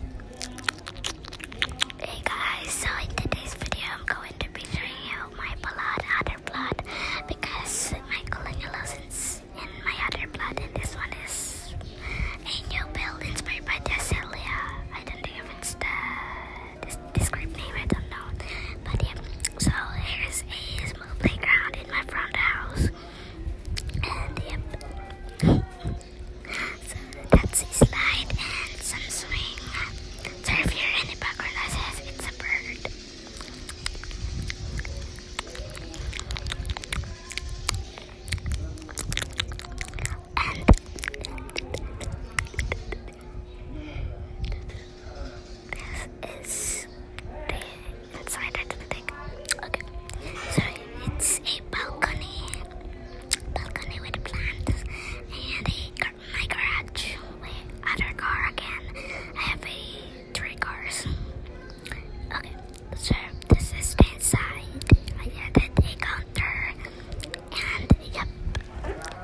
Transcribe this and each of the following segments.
Hey guys, so in today's video I'm going to be showing you my blood, other blood because my colonial is in my other blood and this one is a new build inspired by Dessalia. I don't know if it's the this, this name, I don't know. But yeah, so here's a small playground in my front house. And yep. So that's a slide and some swing. So if you hear any background noises, it's a bird. And this is the inside of the Okay. So it's a balcony, balcony with plants, and a, my garage, my other car again. I have a, three cars. Okay, so this is the inside. I have a counter, and yep.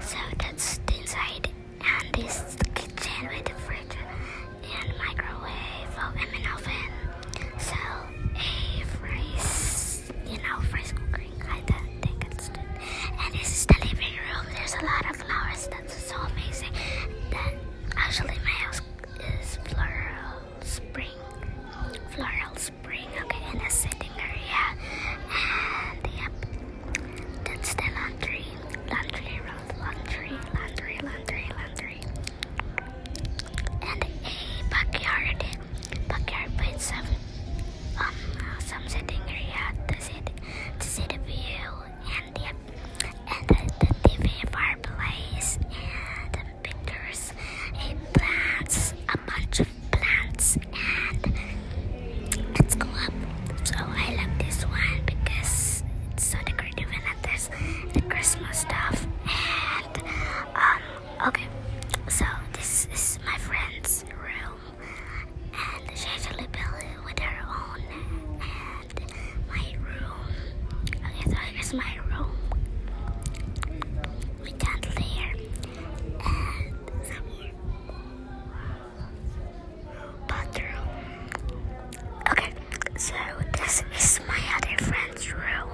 So that's inside, and this kitchen with the fridge and microwave oven and oven sell a rice, you know, rice cooking kind of thing instead. And this is the living room. There's a lot of flowers. That's so amazing. That actually my house is floral spring, floral spring. Okay, in a sitting area. And yep, that's the laundry, laundry room, laundry, laundry, laundry, laundry. And a backyard, backyard with some, um, some sitting area to see to see the view and the, and the, TV fireplace and pictures and plants, a bunch of plants and let's go up. So I love this one because it's so decorative and the Christmas stuff. And um, okay, so this is my friend's room, and she actually built it with her own. And my room. Okay, so here's my room. We can't layer and some more bathroom. Okay, so this is my other friend's room.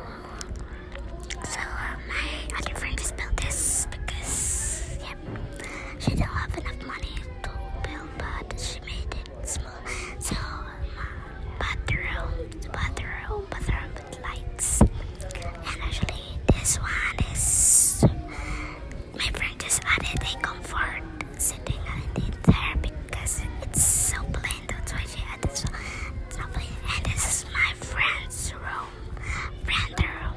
So uh, my other friend just built this because, yep, she didn't have enough money to build, but she made it small. So um, bathroom, bathroom, bathroom with lights. And actually, this one is my friend just added a comfort sitting and there because it's so plain to twitchy and it's so lovely. And this is my friend's room, friend room,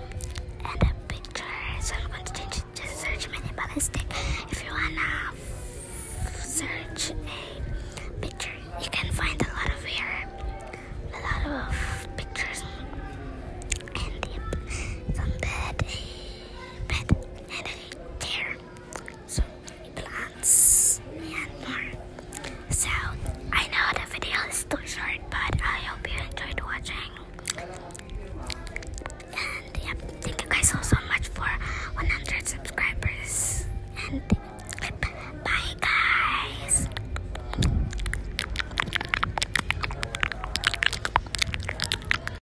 and a picture. So I'm going to change it. Just search mini ballistic if you wanna search a picture. You can find a lot of here, a lot of pictures, and yep, some bed, bed, and a chair. So plants lands and far. So I know the video is too short, but I hope you enjoyed watching. And yep, thank you guys so so much for 100 subscribers. And bye guys.